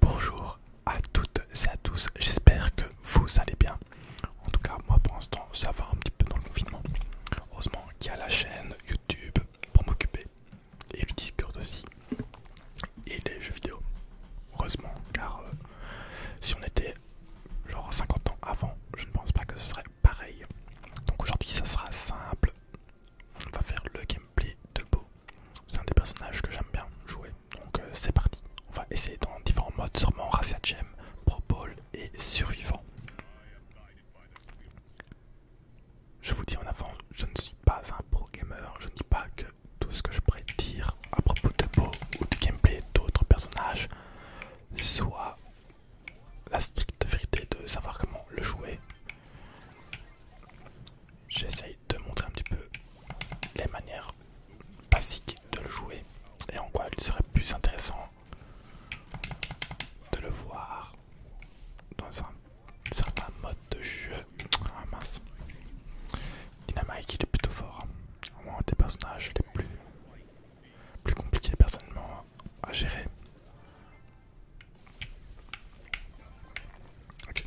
Bonjour à toutes et à tous, j'espère que vous allez bien. En tout cas, moi pour l'instant, ça va un petit peu dans le confinement. Heureusement qu'il y a la chaîne YouTube pour m'occuper et le Discord aussi et les jeux vidéo. Heureusement, car euh, si on était genre 50 ans avant, je ne pense pas que ce serait pareil. Donc aujourd'hui, ça sera simple. On va faire le gameplay de Beau c'est un des personnages que j'aime bien jouer. Donc euh, c'est parti. On va essayer dans différents modes, sûrement Racia Gem, Pro Ball et Survivant. Je vous dis en avant, je ne suis pas un pro gamer, je ne dis pas que tout ce que je pourrais dire à propos de Bo ou de gameplay d'autres personnages soit la stricte vérité de savoir comment le jouer. J'essaye de montrer un petit peu les manières basiques de le jouer et en quoi il serait plus intéressant de le voir dans un certain mode de jeu. Ah mince. il est plutôt fort. un des personnages les plus, plus compliqués personnellement à gérer. Ok.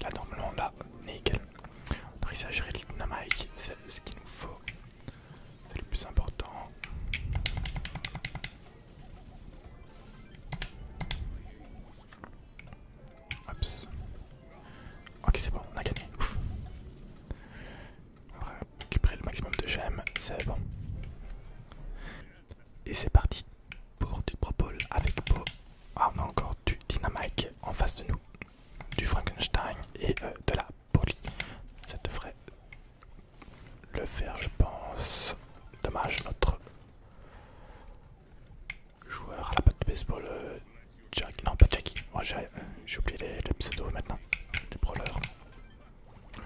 Là normalement là, nickel. On il à gérer le dynamite, c'est ce qu'il nous faut. C'est le plus important. Ok c'est bon, on a gagné. On va récupérer le maximum de gemmes, c'est bon. Et c'est parti pour du propol avec Beau. Ah, on a encore du dynamite en face de nous, du Frankenstein et euh, de la poli. Ça devrait le faire, je pense. Dommage, notre joueur à la patte de baseball, euh, Jack. Non, pas Jackie. j'ai oublié le pseudo maintenant, du brawlers.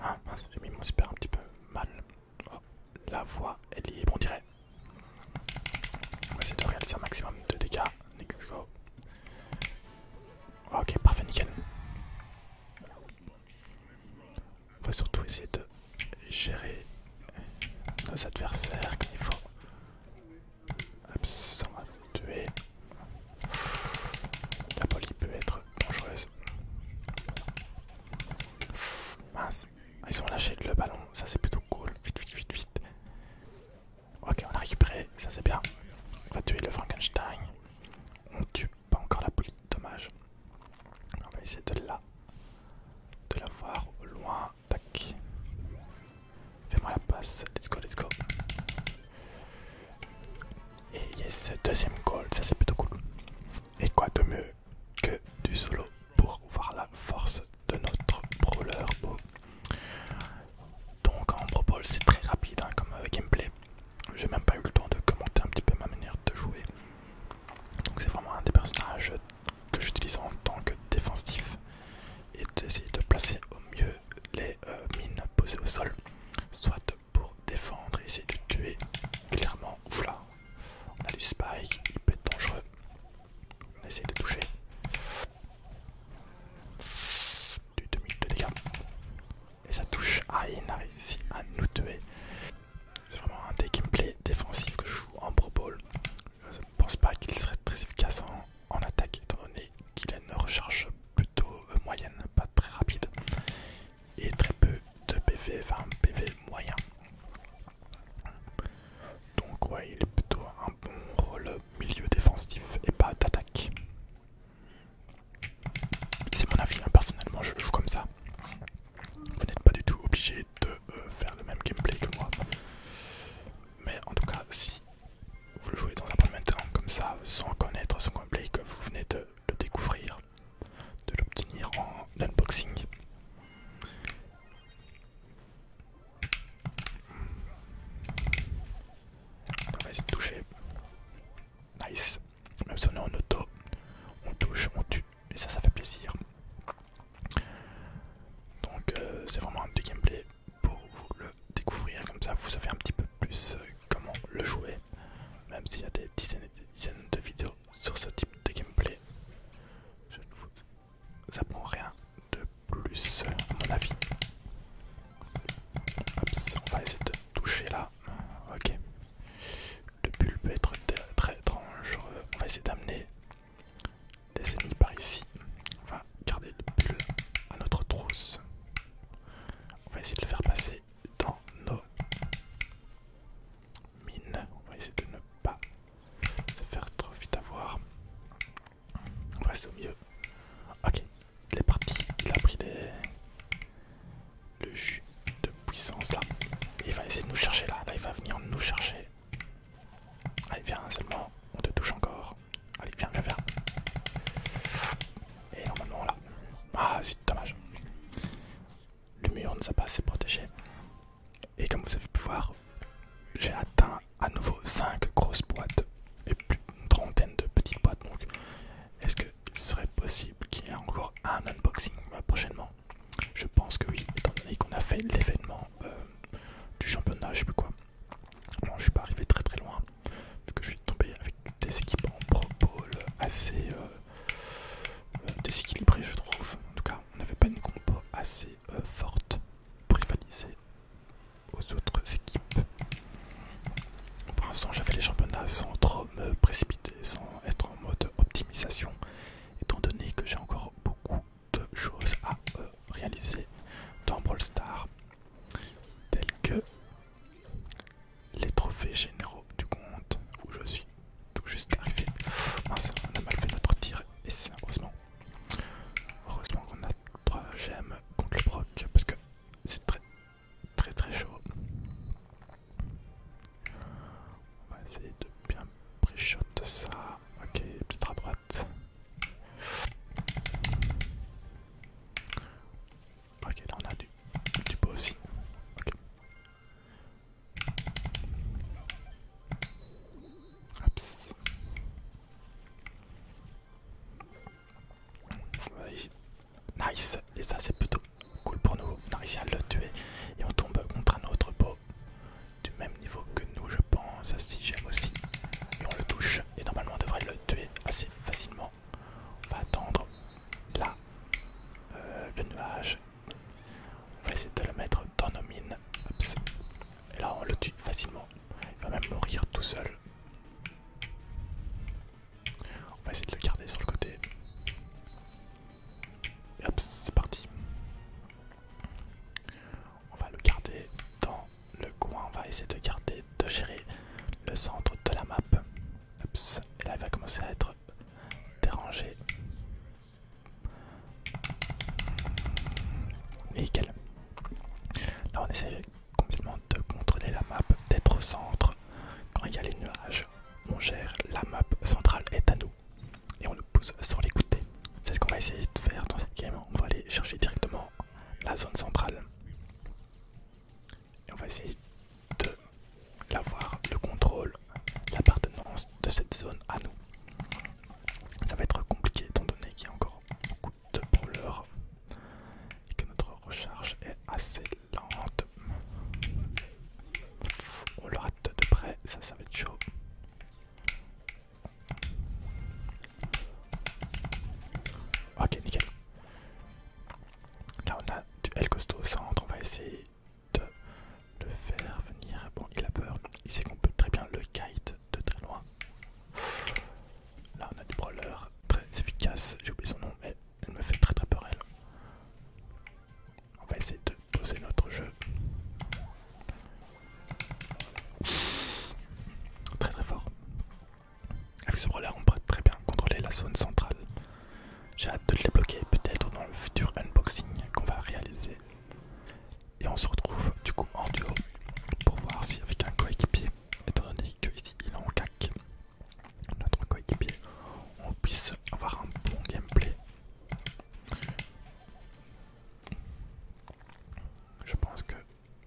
Ah, j'ai mis mon super un petit peu mal. Oh, la voie est libre, on dirait. On va essayer de réaliser un maximum de dégâts. Ah, ok, parfait, nickel. On va surtout essayer de gérer nos adversaires qu'il faut. Hop, ça va tuer. La polie peut être dangereuse. mince. Ah, ils ont lâché le ballon, ça c'est plutôt cool. Vite, vite, vite, vite. Ok, on a récupéré, ça c'est bien. On va tuer le Frankenstein. On tue pas encore la police, dommage. On va essayer de la, de la voir au loin. Tac. Fais-moi la passe. Let's go, let's go. Et yes, deuxième goal, ça c'est plutôt cool. Et quoi de mieux que du solo pour voir la force de notre brawler Donc en brawl c'est très rapide hein, comme euh, gameplay. J'ai même pas eu le temps de commenter un petit peu ma manière de jouer. Donc c'est vraiment un des personnages que j'utilise en tant que défensif et d'essayer de placer au mieux les euh, mines posées au sol, soit pour défendre et essayer de tuer clairement. voilà, là, on a du spike, il peut être dangereux. On essaye de toucher. Du 2000 de dégâts. Et ça touche. à il a à nous tuer. C'est vraiment un des gameplays défensif que je joue en Pro Bowl. Je ne pense pas qu'il serait très efficace en, attaque, étant donné qu'il a une recharge plutôt euh, moyenne, pas très rapide. Et très peu de PV, enfin PV moyen. Donc ouais, il est plutôt un bon rôle milieu défensif et pas d'attaque. C'est mon avis, hein, personnellement je joue comme ça. Vous n'êtes pas du tout obligé de euh, faire le même gameplay que moi. Mais en tout cas, si vous le jouez dans un premier temps comme ça, sans connaître son gameplay, que vous venez de le découvrir, de l'obtenir en unboxing, on va essayer de toucher. Nice. Même si on est en auto, on touche, on tue. Et ça, ça fait plaisir. Donc euh, c'est vraiment un petit gameplay pour vous le découvrir. Comme ça, vous savez un petit peu plus euh, comment le jouer. Même s'il y a des dizaines et des dizaines de vidéos sur ce type de gameplay. Je ne vous apprends rien de plus à mon avis. on va essayer de toucher là. Ok. Le pull peut être très dangereux. On va essayer d'amener des ennemis par ici. On va garder le pull à notre trousse. On va essayer de le faire passer dans nos mine. On va essayer de ne pas se faire trop vite avoir. On reste au milieu. Ok, il est parti. Il a pris le jus de puissance là. il va essayer de nous chercher là. Là, il va venir nous chercher. Allez, viens seulement. On te touche encore. Allez, viens, viens, viens. Et normalement là. Ah, c'est dommage le mur ne s'est pas assez protégé. Et comme vous avez pu voir, j'ai atteint à nouveau 5 grosses boîtes et plus d'une trentaine de petites boîtes. Donc, est-ce qu'il serait possible qu'il y ait encore un unboxing euh, prochainement Je pense que oui, étant donné qu'on a fait l'événement euh, du championnat, je sais plus quoi. Bon, je suis pas arrivé très très loin, vu que je suis tombé avec des équipements pro assez euh, déséquilibrés je trouve. En tout cas, on n'avait pas une compo assez euh, forte pour aux autres équipes. Pour l'instant, j'avais les championnats sans trop me précipiter, sans être en mode optimisation, étant donné que j'ai encore beaucoup de choses à euh, réaliser dans Brawl Stars, telles que les trophées généraux du compte où je suis donc juste on a mal fait notre tir et c'est heureusement. Heureusement qu'on a 3 gemmes contre le proc parce que c'est très très très chaud. On va essayer de bien pré-shot ça. Ok, peut-être à droite. Ok, là on a du, beau aussi. Nice, et ça c'est plutôt cool pour nous. On a réussi à le tuer et on tombe contre un autre pot du même niveau que nous, je pense. Si j'aime aussi, et on le touche. Et normalement, on devrait le tuer assez facilement. On va attendre là euh, le nuage on va essayer de le mettre dans nos mines. Et là, on le tue facilement. Il va même mourir tout seul. On va essayer de le garder sur le côté. Et hop, c'est parti. On va le garder dans le coin. On va essayer de garder, de gérer le centre de la map. et là, il va commencer à être dérangé. Nickel. Là on essaye complètement de contrôler la map, d'être au centre. Quand il y a les nuages, on gère la map centrale est à nous. Et on le pousse sur les côtés. C'est ce qu'on va essayer de faire dans cette game. On va aller chercher directement la zone centrale. Et on va essayer de l'avoir le contrôle, l'appartenance de cette zone à nous. Ça va être compliqué étant donné qu'il y a encore beaucoup de brûleurs et que notre recharge est assez lente. on le rate de près, ça ça va être chaud. Ok nickel. Là on a du L costaud au centre, on va essayer de le faire venir. Bon, il a peur. Il sait qu'on peut très bien le kite de très loin. Là, on a du brawler très efficace. J'ai oublié son nom, mais elle me fait très très peur, elle. On va essayer de poser notre jeu. Très très fort. Avec ce brawler, on peut très bien contrôler la zone centrale. J'ai hâte de les bloquer peut-être dans le futur unboxing qu'on va réaliser. Et on se retrouve du coup en duo pour voir si avec un coéquipier, étant donné qu'ici il est en cac, notre coéquipier, on puisse avoir un bon gameplay. Je pense que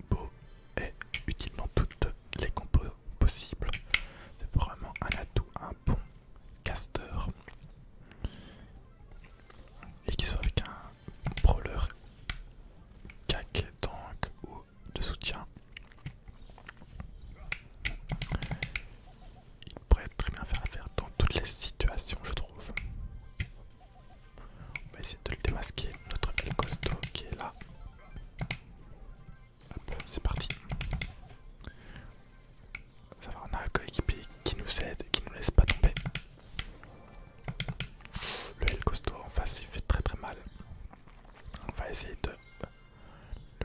Beau est utile dans toutes les compos possibles. C'est vraiment un atout, bon caster et qu'il soit avec un brawler cac tank ou de soutien il pourrait très bien faire l'affaire dans toutes les situations je trouve on va essayer de le démasquer notre El Costo qui est là Hop, c'est parti on a un coéquipier qui nous aide et qui nous laisse pas tomber. Le L costaud en face il fait très très mal. On va essayer de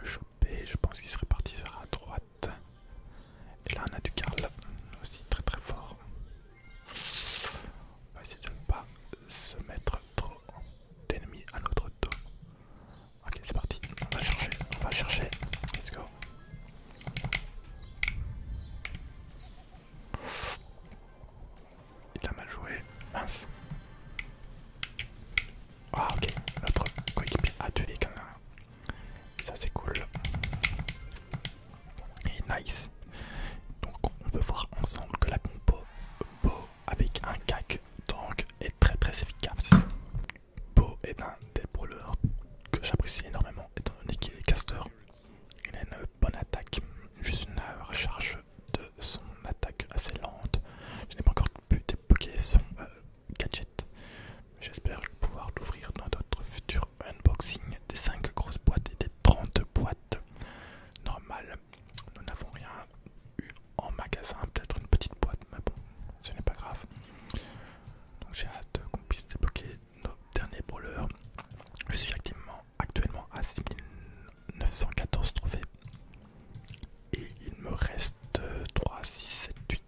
le choper. Je pense qu'il serait parti vers la droite. Et là on a du Karl aussi très très fort. On va essayer de ne pas se mettre trop d'ennemis à notre dos. Ok, c'est parti. On va chercher, on va chercher. Let's go. Il a mal joué. Mince. Ah ok, notre coéquipier a tué même Ça c'est cool. Et nice. Donc on peut voir ensemble que la compo avec un cac donc est très très efficace. Beau et eh ben des que j'apprécie énormément étant donné qu'il est caster, Il a une bonne attaque, juste une recharge de son attaque assez lente. Je n'ai pas encore pu débloquer son euh, gadget. J'espère pouvoir l'ouvrir dans d'autres futurs unboxing des 5 grosses boîtes et des 30 boîtes normales. Nous n'avons rien eu en magasin, peut-être une petite boîte, mais bon, ce n'est pas grave. j'ai hâte qu'on puisse débloquer nos derniers brawlers. Je suis actuellement à 6914 trophées. Et il me reste 3, 6, 7,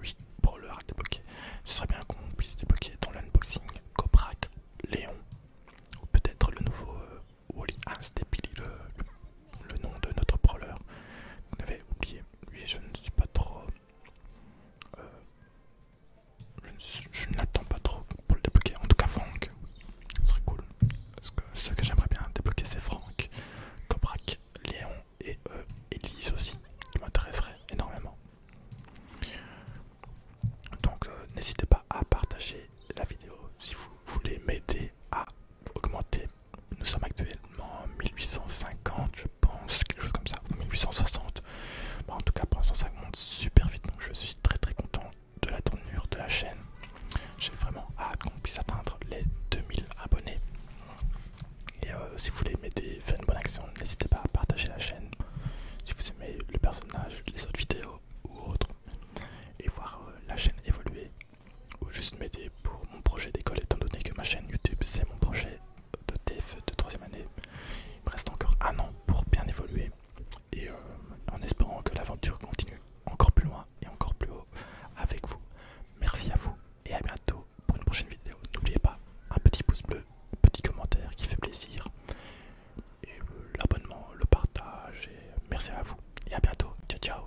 8, brawlers à débloquer. Ce serait bien qu'on puisse débloquer dans l'unboxing Cobrak, Léon. Ou peut-être le nouveau euh, Wally le le nom de notre brawler vous avait oublié. Lui, je ne suis pas trop. Euh, je ne l'attends pas trop pour le débloquer. En tout cas, Franck, ce serait cool. Parce que ce que j'aimerais bien débloquer, c'est Franck, Cobrak, Léon et euh, Elise aussi, qui m'intéresserait énormément. Donc, euh, n'hésitez pas à partager la vidéo si vous voulez m'aider a à augmenter. Nous sommes actuellement 1850, je pense, quelque chose comme ça, 1860. en tout cas, pour l'instant, ça monte super vite, donc je suis très très content de la tournure de la chaîne. J'ai vraiment hâte qu'on puisse atteindre les 2000 abonnés. Et euh, si vous voulez m'aider, faire une bonne action, n'hésitez pas à partager la chaîne. Si vous aimez le personnage, les autres vidéos ou autres, et voir euh, la chaîne évoluer, ou juste m'aider pour mon projet d'école étant donné que ma chaîne YouTube c'est mon projet de TF de troisième année. Il me reste encore un an pour bien évoluer et euh, en espérant que l'aventure continue encore plus loin et encore plus haut avec vous. Merci à vous et à bientôt pour une prochaine vidéo. N'oubliez pas un petit pouce bleu, petit commentaire qui fait plaisir et euh, l'abonnement, le partage et euh, merci à vous et à bientôt. Ciao ciao